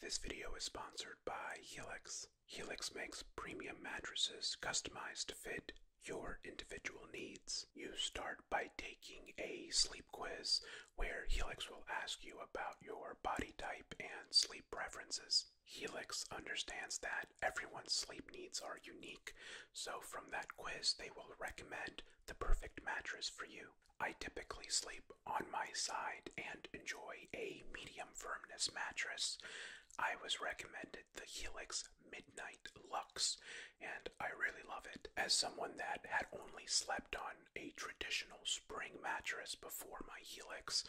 This video is sponsored by Helix. Helix makes premium mattresses customized to fit your individual needs. You start by taking a sleep quiz where Helix will ask you about your body type and sleep preferences. Helix understands that everyone's sleep needs are unique, so from that quiz, they will recommend the perfect mattress for you. I typically sleep on my side and enjoy a medium firmness mattress. I was recommended the Helix Midnight Lux, and I really love it. As someone that had only slept on a traditional spring mattress before my Helix,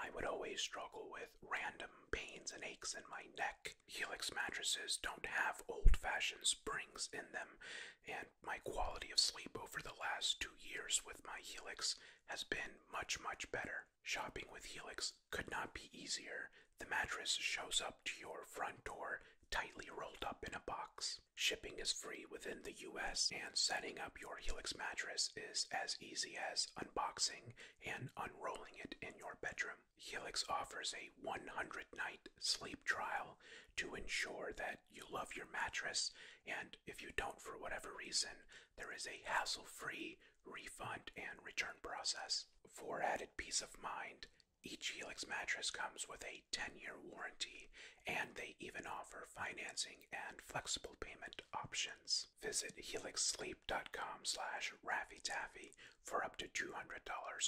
I would always struggle with random pains and aches in my neck. Helix mattresses don't have old fashioned springs in them, and my quality of sleep over the last two years with my Helix has been much, much better. Shopping with Helix could not be easier. The mattress shows up to your front door tightly rolled up in a box. Shipping is free within the US, and setting up your Helix mattress is as easy as unboxing and unrolling it in your bedroom. Helix offers a 100 night sleep trial to ensure that you love your mattress, and if you don't for whatever reason, there is a hassle free refund and return process. For added peace of mind, each Helix mattress comes with a 10 year warranty, and they even offer financing and flexible payment options. Visit helixsleep.com slash raffytaffy for up to $200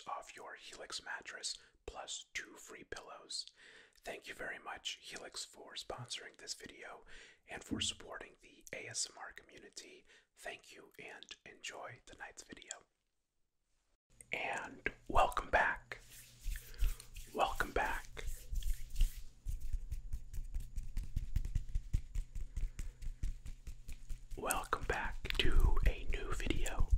off your Helix mattress plus two free pillows. Thank you very much, Helix, for sponsoring this video and for supporting the ASMR community. Thank you and enjoy tonight's video. And welcome back. Welcome back. Welcome back to a new video.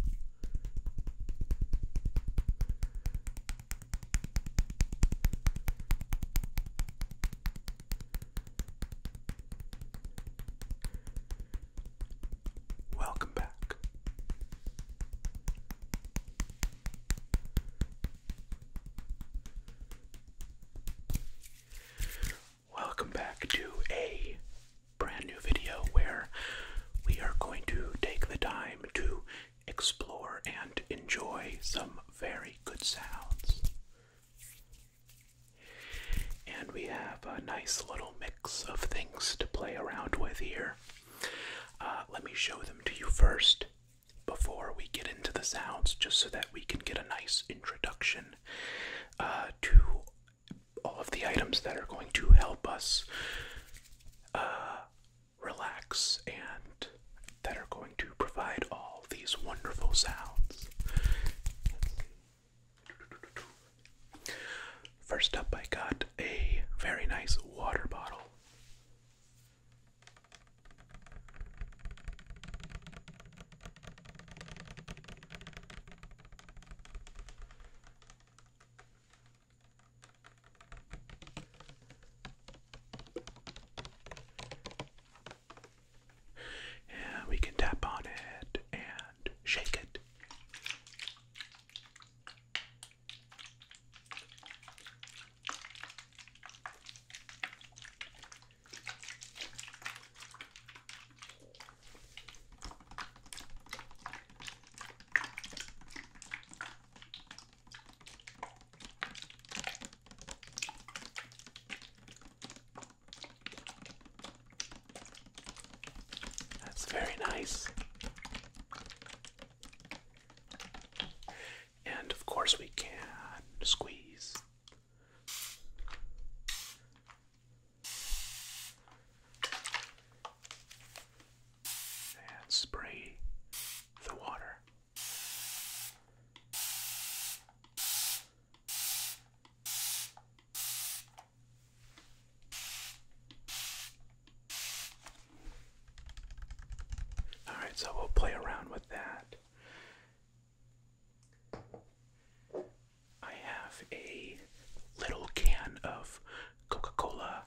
Welcome back. Welcome back to a brand new video where we are going to take the time to explore and enjoy some very good sounds. And we have a nice little mix of things to play around with here. Uh, let me show them to you first before we get into the sounds, just so that we can get a nice introduction uh, to all of the items that are going to help us uh, relax and that are going to provide all these wonderful sounds. First up, I got a very nice water bottle. And we can tap on it and shake it. That's very nice. And of course, we can squeeze. And spray the water. All right, so we'll play around with that. I have a little can of Coca Cola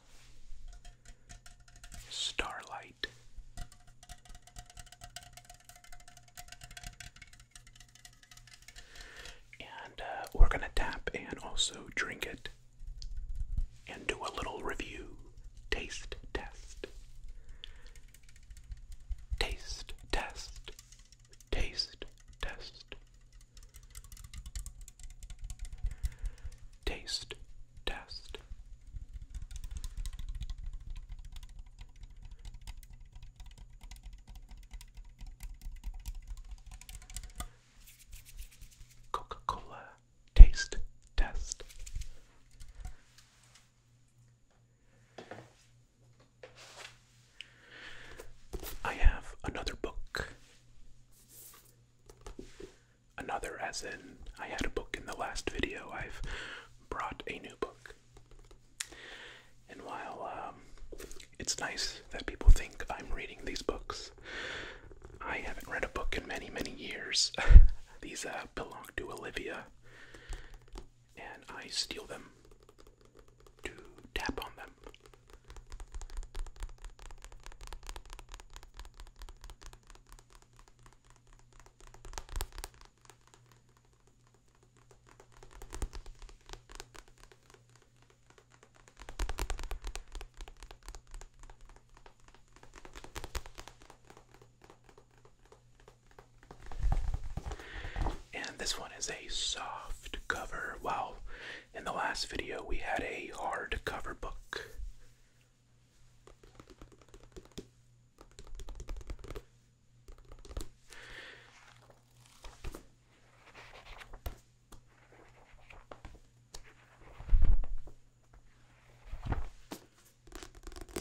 Starlight night. And uh, we're going to tap and also drink it and do a little review taste test. Taste test. Taste test. Taste test. Coca-Cola taste test. I have another book another, as in I had a book in the last video, I've brought a new book. And while um, it's nice that people think I'm reading these books, I haven't read a book in many, many years. these uh, belong to Olivia, and I steal them to tap on them. And this one is a soft cover. Well, in the last video we had a hard cover book.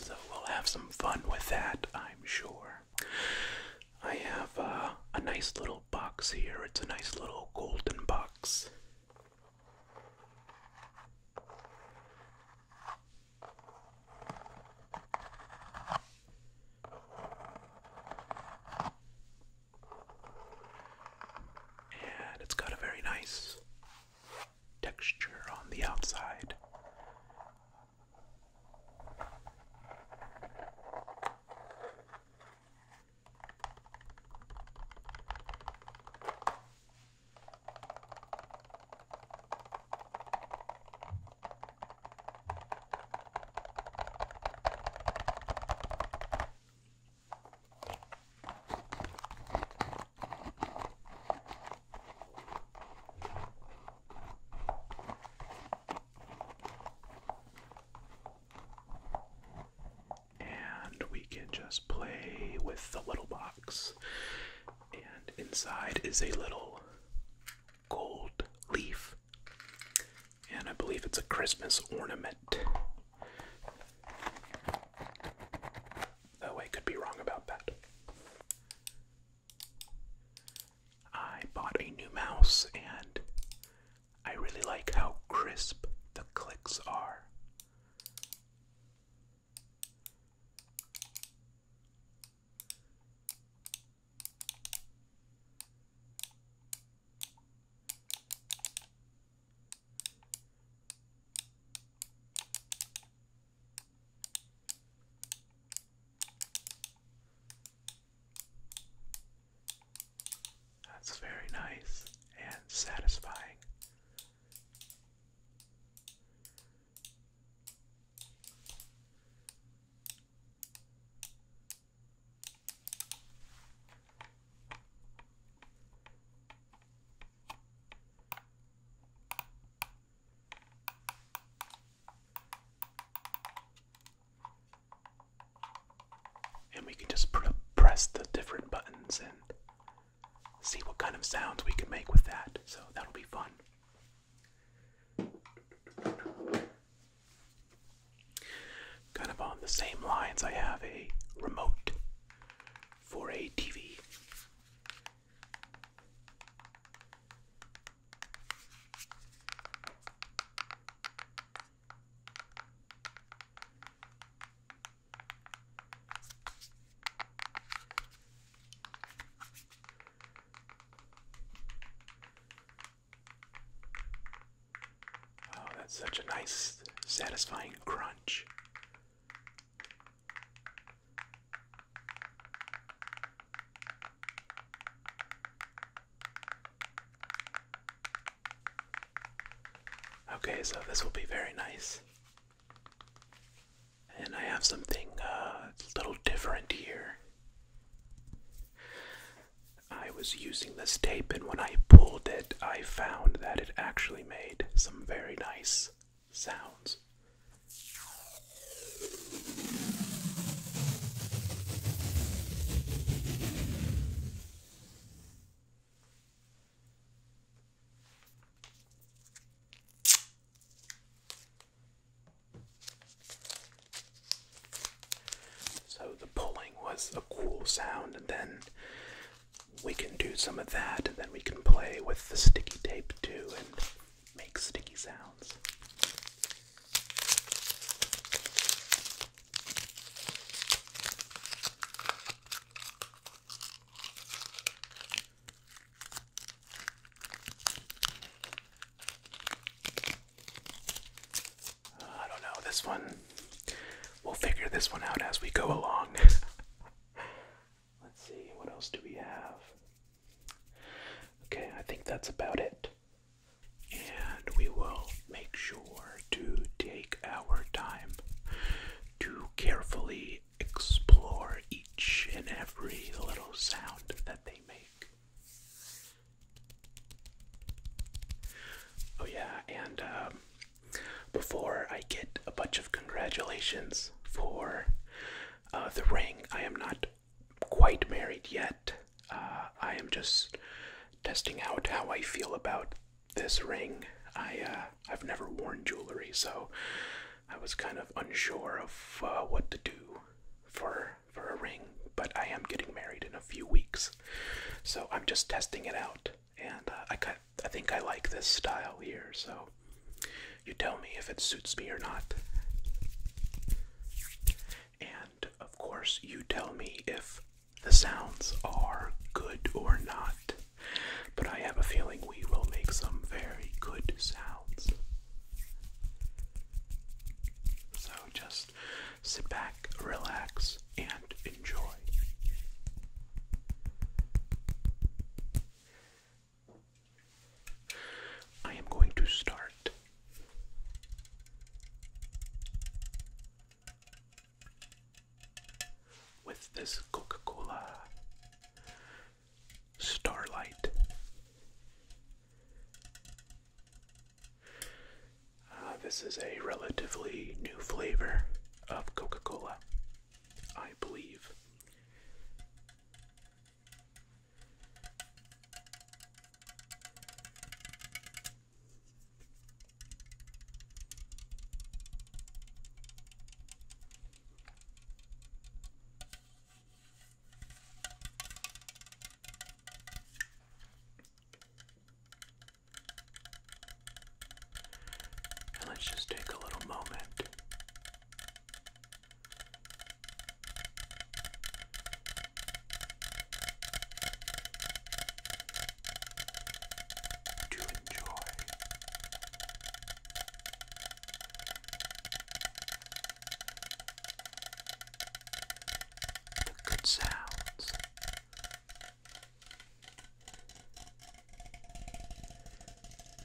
So we'll have some fun with that, I'm sure. I have uh, a nice little box here. It's a nice little golden box. And it's got a very nice texture on the outside. And we can just play with the little box. And inside is a little gold leaf. And I believe it's a Christmas ornament. Though I could be wrong about that. I bought a new mouse and I really like how crisp the clicks are. That's very nice and satisfying. And we can just press the different buttons and see what kind of sounds we can make with that. So that'll be fun. Kind of on the same lines, I have a remote for a TV. Oh, that's such a nice, satisfying crunch. Okay, so this will be very nice. And I have something uh, a little different here. I was using this tape, and when I pulled it, I found that it actually made some very nice sounds. So the pulling was a cool sound, and then we can do some of that, and then we can play with the sticky tape too and make sticky sounds. Uh, I don't know, this one. We'll figure this one out as we go along. Let's see, what else do we have? Okay, I think that's about it. And we will make sure to take our time to carefully explore each and every little sound that they make. Oh, yeah, and um, before I get a bunch of congratulations for uh, the ring, I am not quite married yet. Uh, I am just testing out how I feel about this ring. I uh, I've never worn jewelry, so I was kind of unsure of uh, what to do for for a ring. But I am getting married in a few weeks, so I'm just testing it out, and uh, I got, I think I like this style here. So you tell me if it suits me or not. And of course, you tell me if the sounds are good or not but I have a feeling we will make some very good sounds. So just sit back, relax, and enjoy. I am going to start. With this Coca Cola Starlight. Uh, this is a relatively new flavor of Coca Cola, I believe let's just take a little moment to enjoy the good sounds.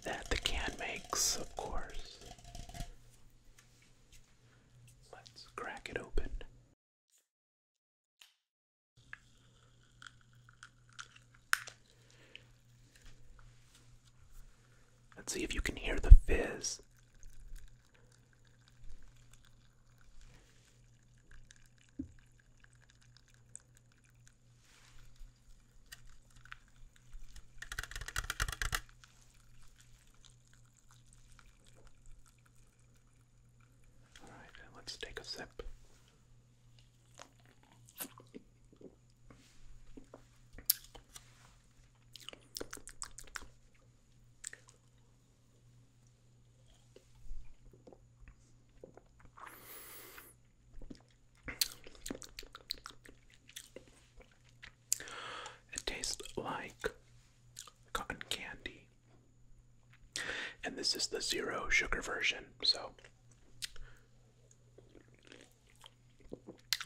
That the can makes, of course. Let's crack it open. Let's see if you can hear the fizz. All right, let's take a sip. It tastes like cotton candy. And this is the zero sugar version, so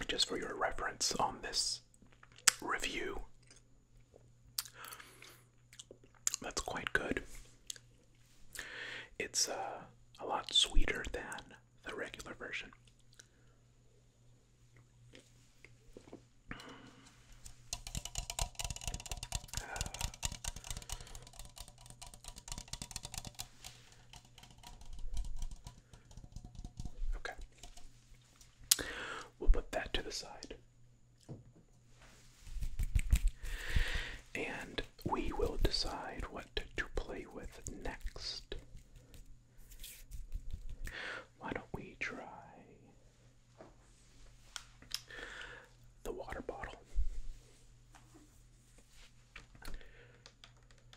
just for your reference on this review. That's quite good. It's uh, a lot sweeter than the regular version. Okay. We'll put that to the side. And we will decide what to play with next. Why don't we try the water bottle?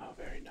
Oh, very nice.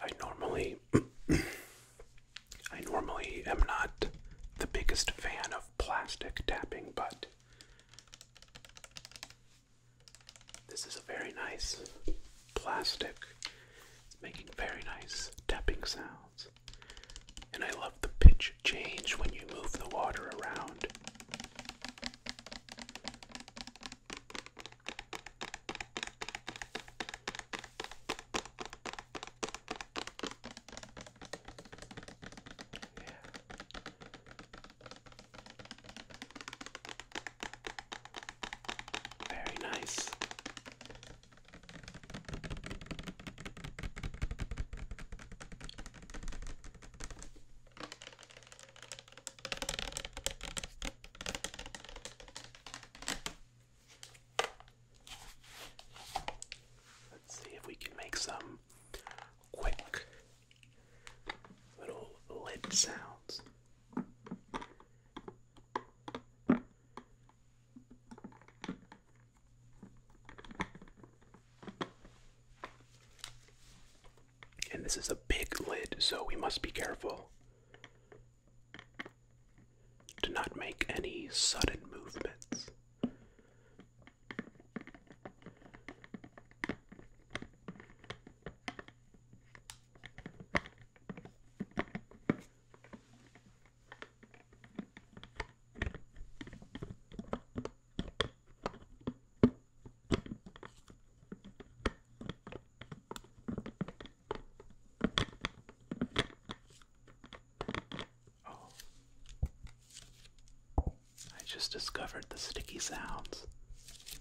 I normally I normally am not the biggest fan of plastic tapping, but this is a very nice plastic. It's making very nice tapping sounds. And I love the pitch change when you move the water around. Yeah. Very nice. Let's see if we can make some quick little lid sounds. And this is a big lid, so we must be careful to not make any sudden movements. Oh. I just discovered the sticky sounds.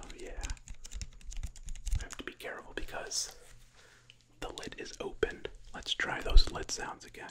Oh, yeah. I have to be careful because the lid is open. Let's try those lid sounds again.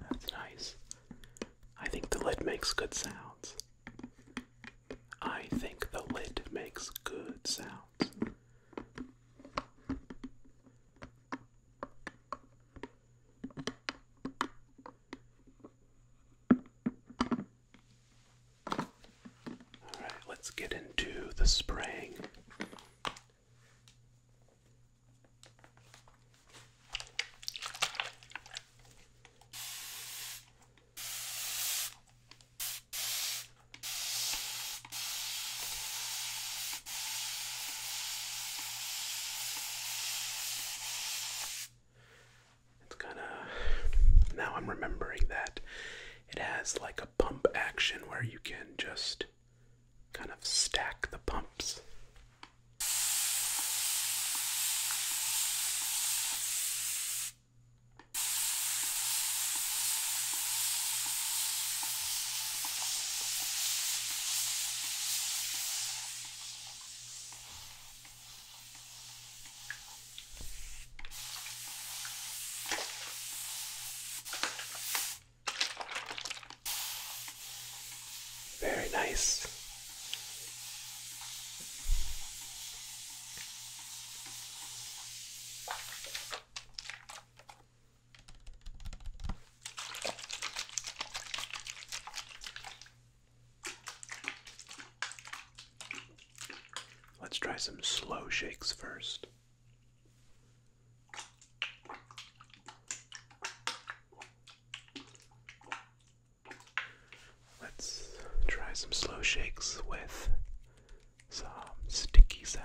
That's nice. I think the lid makes good sounds. I think the lid makes good sounds. All right, let's get into the spraying. It's kind of now I'm remembering that it has like a pump action where you can just kind of stack the pumps. Very nice. Let's try some slow shakes first. Let's try some slow shakes with some sticky sounds.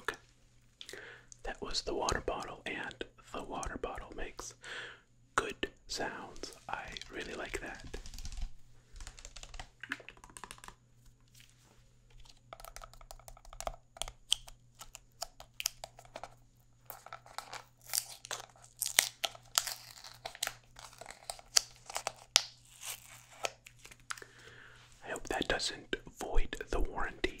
Okay. That was the water bottle, and the water bottle makes good sounds. I really like that. I hope that doesn't void the warranty.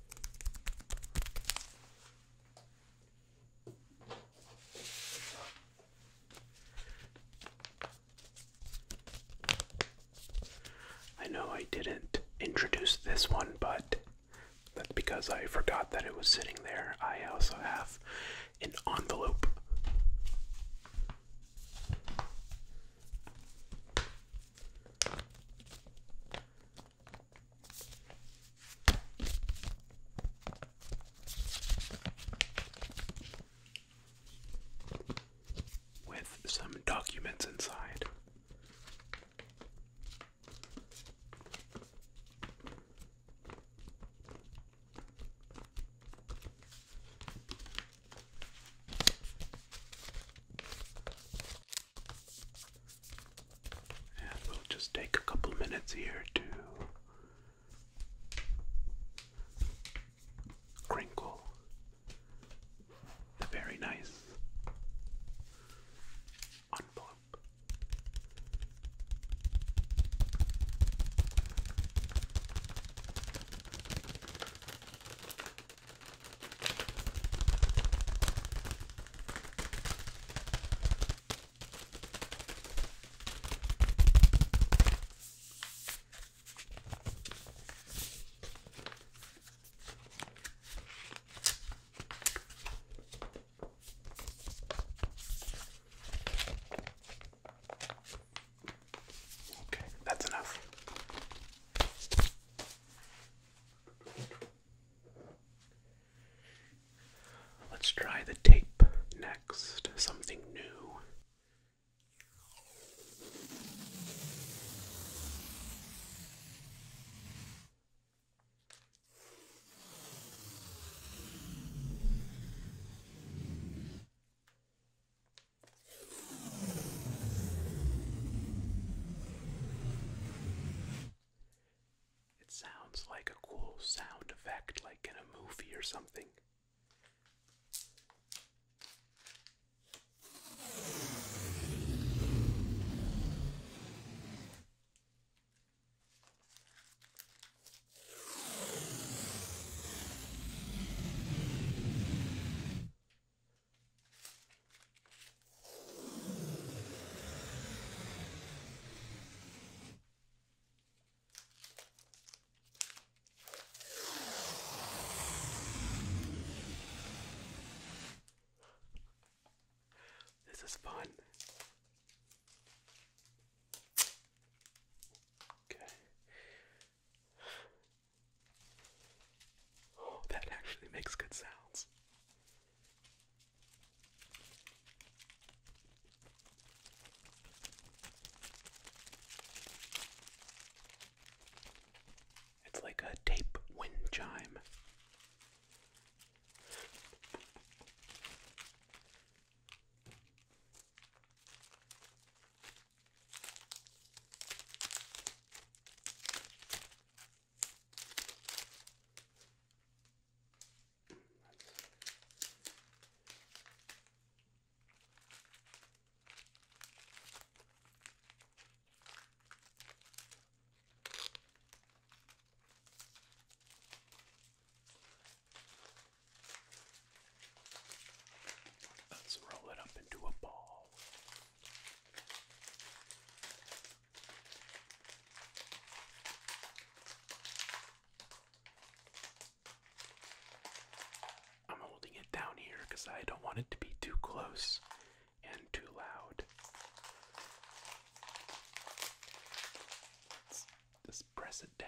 I know I didn't introduce this one, but that's because I forgot that it was sitting there. I also have an envelope with some documents inside. And we'll just take a couple minutes here to crinkle the very nice envelope. Okay, that's enough. Let's try the tape next. Something new. It sounds like a cool sound effect, like in a movie or something. This is fun. Okay. Oh, that actually makes good sounds. It's like a tape wind chime. Let's roll it up into a ball. I'm holding it down here because I don't want it to be too close and too loud. just press it down.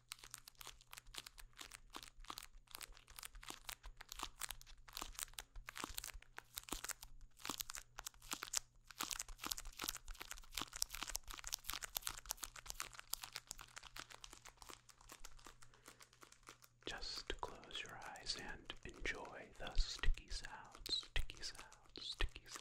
Just close your eyes and enjoy the sticky sounds, sticky sounds, sticky sounds.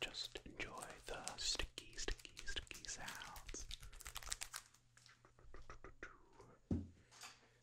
Just enjoy the sticky, sticky, sticky sounds.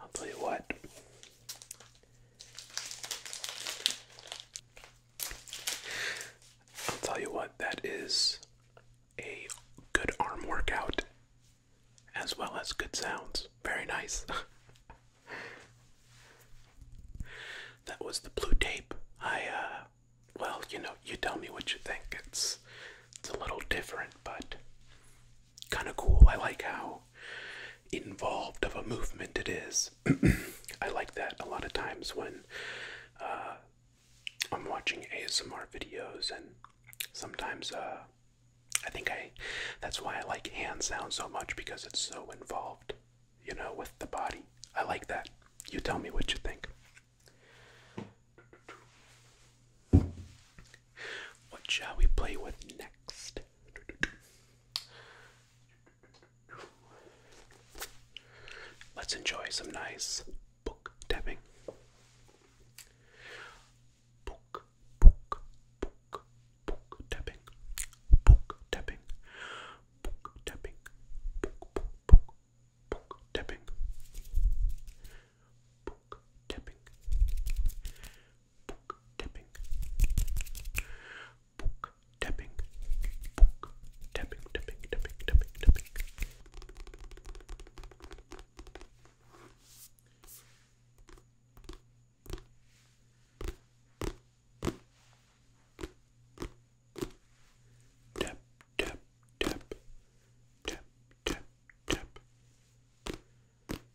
I'll tell you what. I'll tell you what, that is a good arm workout as well as good sounds. Very nice. that was the blue tape. I, uh, well, you know, you tell me what you think. It's, it's a little different, but kind of cool. I like how involved of a movement it is. I like that a lot of times when uh, I'm watching ASMR videos, and sometimes uh, I think I that's why I like hand sound so much because it's so involved, you know, with the body. I like that. You tell me what you think. What shall we play with next? Let's enjoy some nice book tapping. Book, book, book, book tapping. Book tapping. Book tapping. Book, book, book, book tapping. Book tapping book tapping, book tapping, book tapping, tapping, tapping, tapping, tapping. Tap, tap, tap, tap, tap, tap, tap,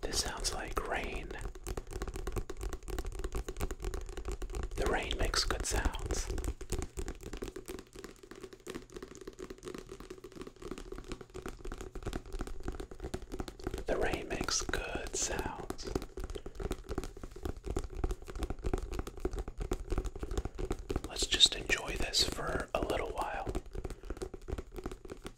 This sounds like rain. The rain makes good sounds. The rain makes good sounds. Let's just enjoy this for a little while.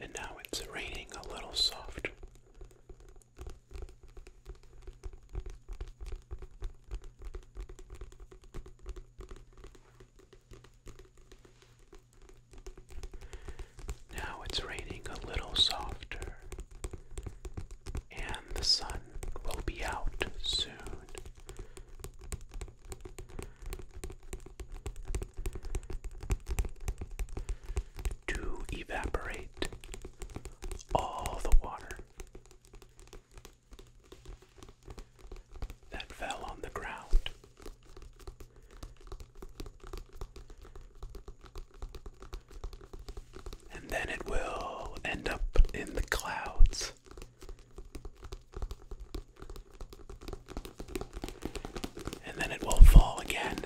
And now it's raining a little soft. Now it's raining a little softer, and the sun will be out soon. To evaporate all the water that fell on the ground. And then it will end up in the clouds. And then it will fall again.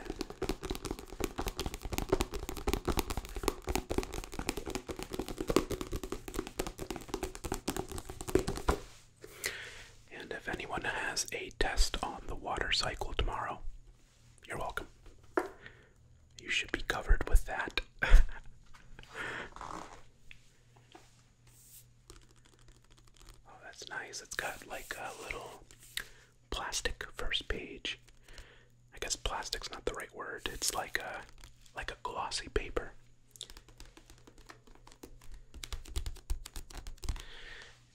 And if anyone has a test on the water cycle tomorrow, you're welcome. You should be covered with that. oh, that's nice. It's got like a little plastic first page. I guess plastic's not the right word. It's like a like a glossy paper.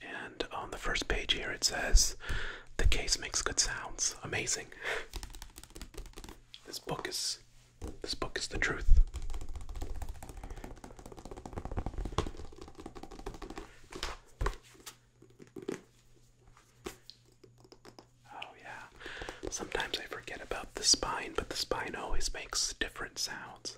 And on the first page here it says, The case makes good sounds. Amazing. This book is this book is the truth. Oh yeah. Sometimes I forget about the spine, but the spine always makes different sounds.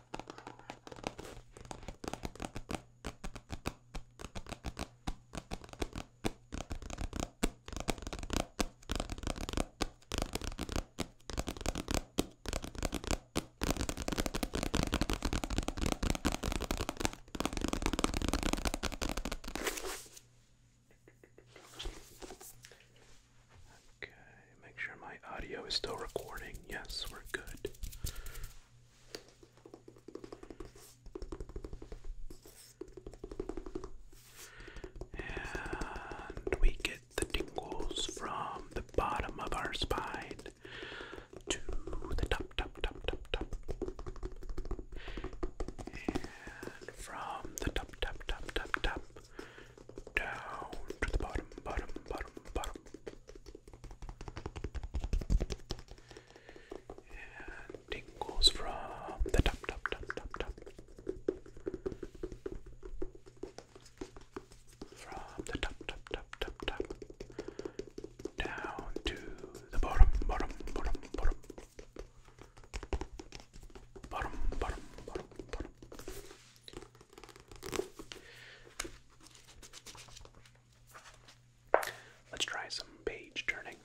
Okay, make sure my audio is still recording. Yes, we're good. And we get the tingles from the bottom of our spine to the top, top, top, top, top. And from the top, top, top, top, top, down to the bottom, bottom, bottom, bottom. And tingles from the top, top, top, top, top. From the top, top, top, top, top. Down to the bottom, bottom, bottom, bottom. Bottom, bottom, bottom, Let's try some page turning.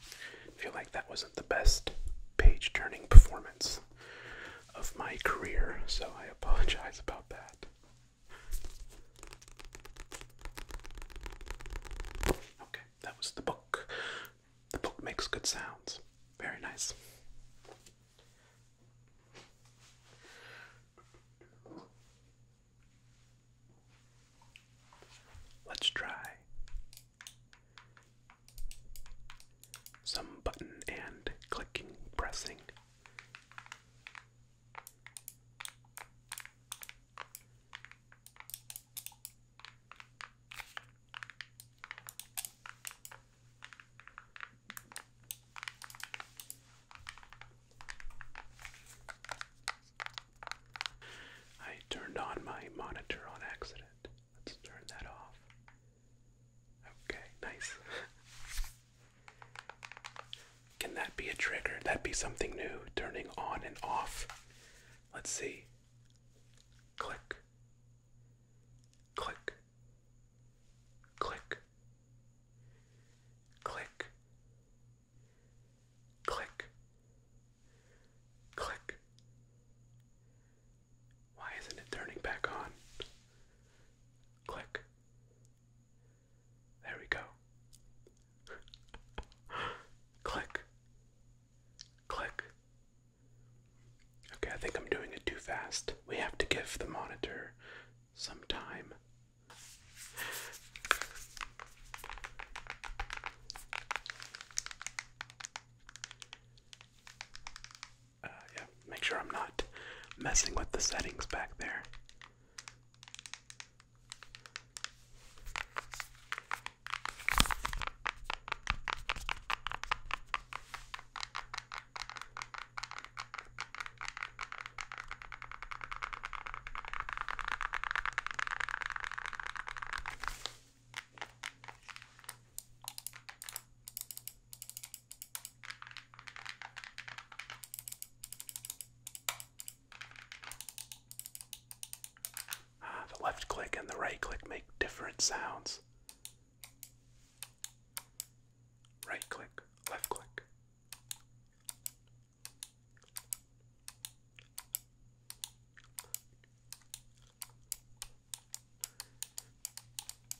I feel like that wasn't the best page turning performance of my career, so I apologize about that. Okay, that was the book. The book makes good sounds. Very nice. Let's try some button and clicking, pressing. I turned on my monitor on accident. Let's turn that off. Okay, nice. Can that be a trigger? That be something new, turning on and off. Let's see. Click. Click. Click. Click. Click. Click. Why isn't it turning back on? Click. There we go. Click. Click. Okay, I think I'm doing it too fast. We have to give the monitor some time. Uh, yeah, make sure I'm not messing with the settings back there. Ah, the left click and the right click make different sounds. Right click, left click.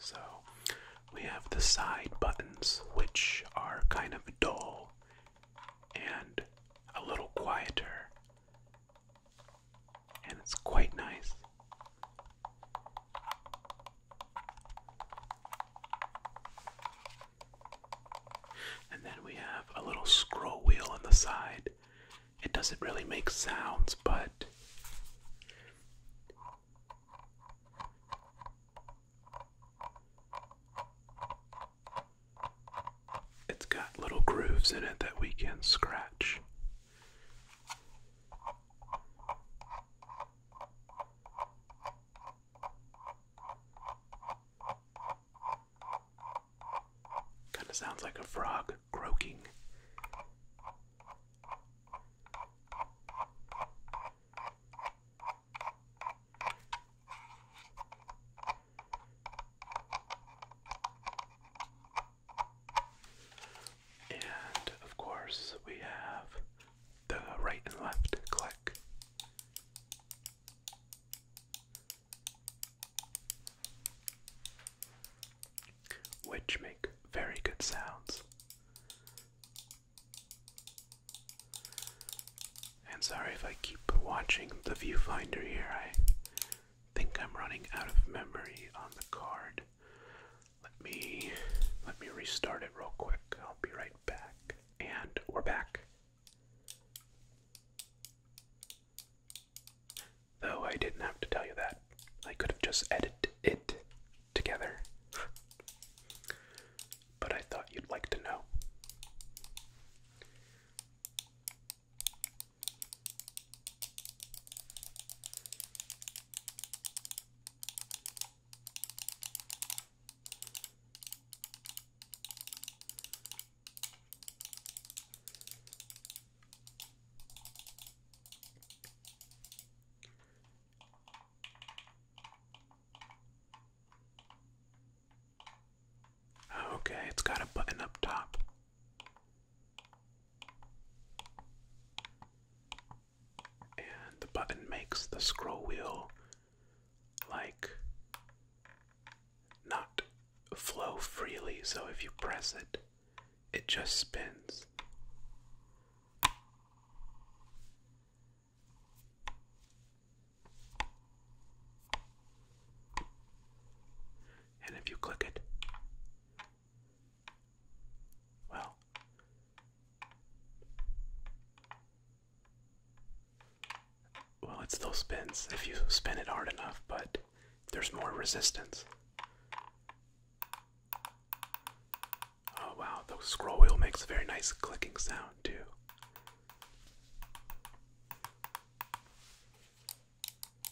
So we have the side buttons, which are kind of dull and a little quieter and it's quite nice. And then we have a little scroll wheel on the side. It doesn't really make sounds, but it's got little grooves in it that we can scratch. Kind of sounds like a frog croaking. And of course, we have the right and left click. Which make very good sounds. And sorry if I keep watching the viewfinder here, I think I'm running out of memory on the card. Let me let me restart it real quick. I'll be right back. And we're back. Though I didn't have to tell you that. I could have just edited it together. But I thought you'd like to know. Okay, it's got a button up top. And the button makes the scroll wheel like not flow freely, so if you press it, it just spins. And if you click it, well. Well, it still spins if you spin it hard enough, but there's more resistance. Oh wow, the scroll wheel makes a very nice clicking sound too.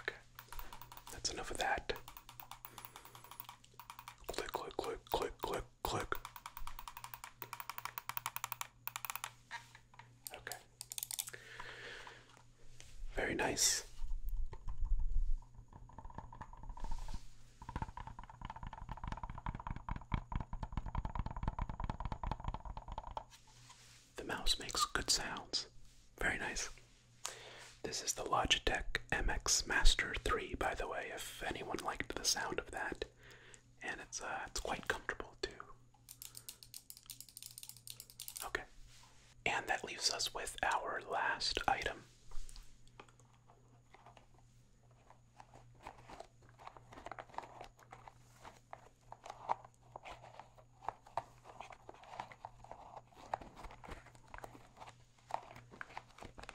okay, that's enough of that. Click, click, click, click, click, click. Okay. Very nice. The mouse makes good sounds. Very nice. This is the Logitech MX Master 3, by the way, if anyone liked the sound of that. And it's uh, it's quite comfortable too. Okay. And that leaves us with our last item.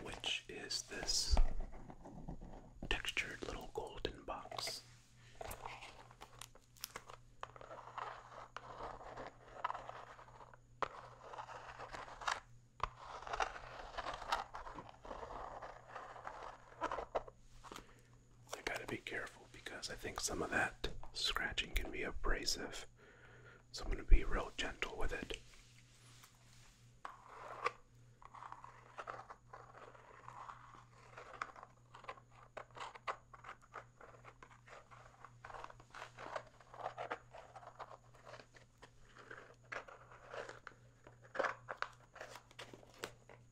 Which is this textured little golden box? I gotta be careful because I think some of that scratching can be abrasive. So I'm gonna be real gentle with it.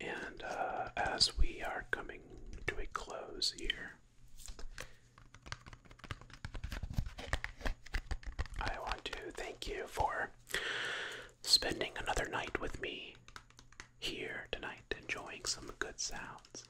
And uh, as we are coming to a close here, I want to thank you for spending another night with me here tonight, enjoying some good sounds.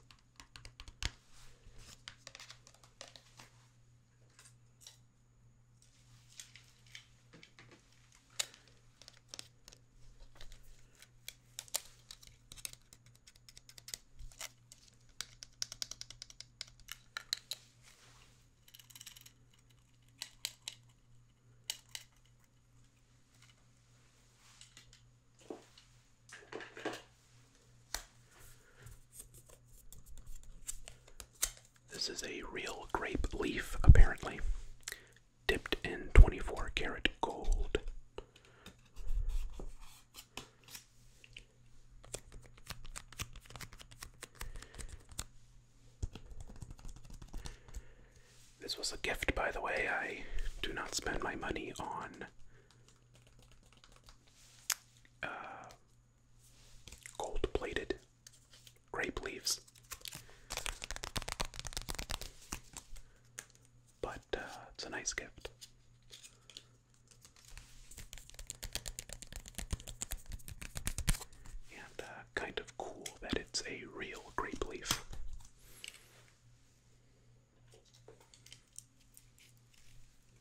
This is a real grape leaf, apparently, dipped in 24 karat gold. This was a gift, by the way. I do not spend my money on uh, gold plated grape leaves. But uh, it's a nice gift. And uh, kind of cool that it's a real grape leaf.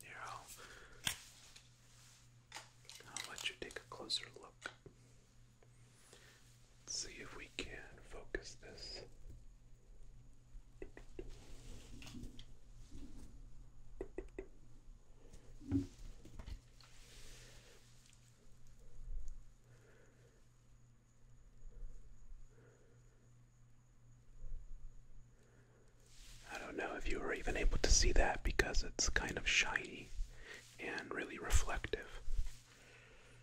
Here, I'll let you take a closer look. Let's see if we can focus this. I don't know if you were even able to see that because it's kind of shiny and really reflective.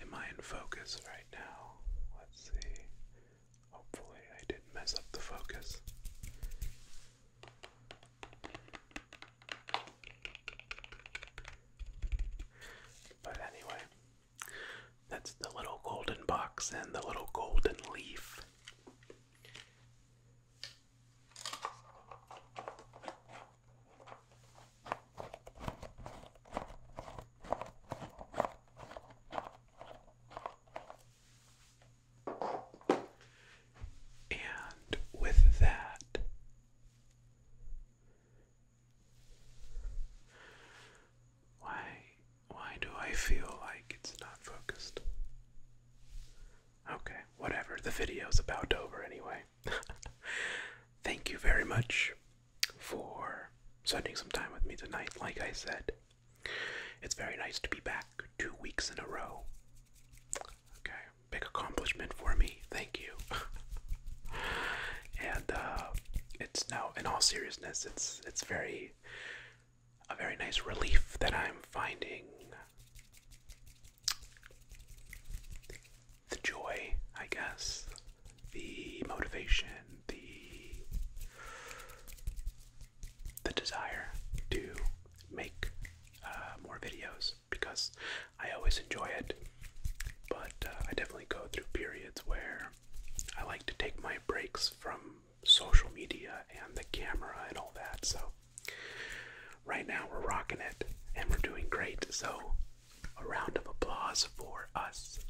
Am I in focus right now? Let's see. Hopefully, I didn't mess up the focus. But anyway, that's the little golden box and the little golden leaf. And with that, why why do I feel like it's not focused? Okay, whatever. The video's about over anyway. Thank you very much for spending some time with me tonight. Like I said, it's very nice to be back two weeks in a row. Okay big accomplishment for me. Thank you. and uh, it's now, in all seriousness, it's it's very a very nice relief that I'm finding the joy, I guess, the motivation, the the desire to make uh, more videos because I always enjoy it. But uh, I definitely go through periods where I like to take my breaks from social media and the camera and all that. So right now we're rocking it and we're doing great. So a round of applause for us.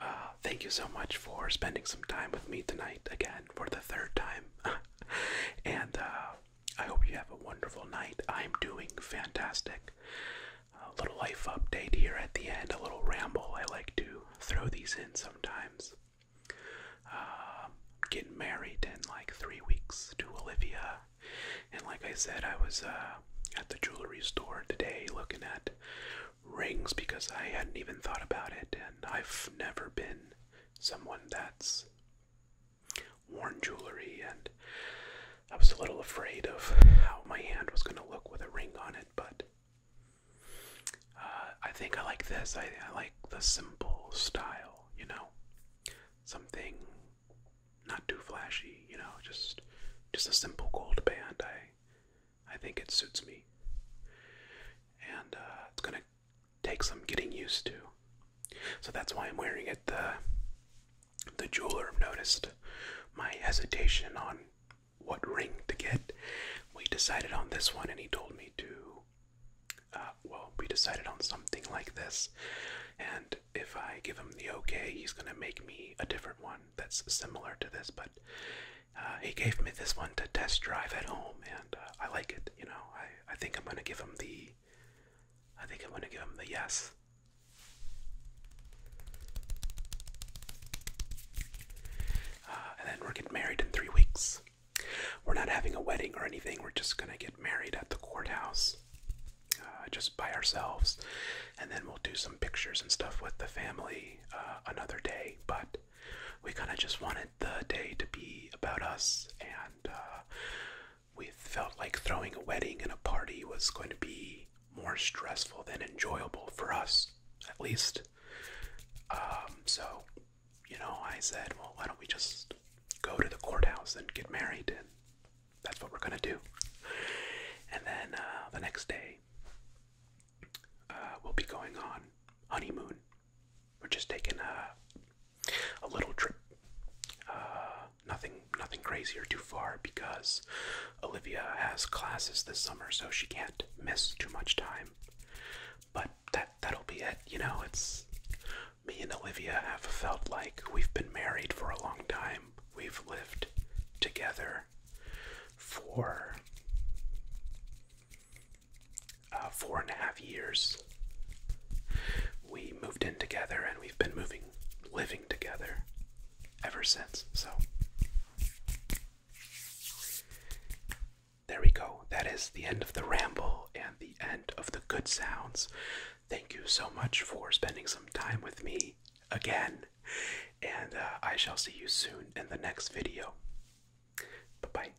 Uh, thank you so much for spending some time with me tonight again for the third time. and uh, I hope you have a wonderful night. I'm doing fantastic. A little life update here at the end, a little ramble. I like to throw these in sometimes. Um, getting married in like three weeks to Olivia, and like I said, I was uh, at the jewelry store today looking at rings because I hadn't even thought about it, and I've never been someone that's worn jewelry, and I was a little afraid of how my hand was going to look with a ring on it, but uh, I think I like this. I, like the simple style, you know, something not too flashy, you know, just just a simple gold band. I I think it suits me, and uh, it's gonna takes some getting used to. So that's why I'm wearing it. The the jeweler noticed my hesitation on what ring to get. We decided on this one, and he told me to. Uh, well, we decided on something like this, and if I give him the okay, he's gonna make me a different one that's similar to this. But uh, he gave me this one to test drive at home, and uh, I like it. You know, I I think I'm gonna give him the I think I'm gonna give him the yes. Uh, and then we're getting married in three weeks. We're not having a wedding or anything. We're just gonna get married at the courthouse, uh, just by ourselves, and then we'll do some pictures and stuff with the family uh, another day. But we kind of just wanted the day to be about us, and uh, we felt like throwing a wedding and a party was going to be more stressful than enjoyable for us, at least. Um, so, you know, I said, well, why don't we just go to the courthouse and get married? And that's what we're going to do. And then uh, the next day, uh, we'll be going on honeymoon we're just taking a, a little trip. Uh, nothing, nothing crazy or too far because Olivia has classes this summer, so she can't miss too much time. But that that'll be it. You know, it's me and Olivia have felt like we've been married for a long time. We've lived together for uh, four and a half years. We moved in together and we've been moving, living together ever since. So, there we go. That is the end of the ramble and the end of the good sounds. Thank you so much for spending some time with me again. And uh, I shall see you soon in the next video. Bye bye.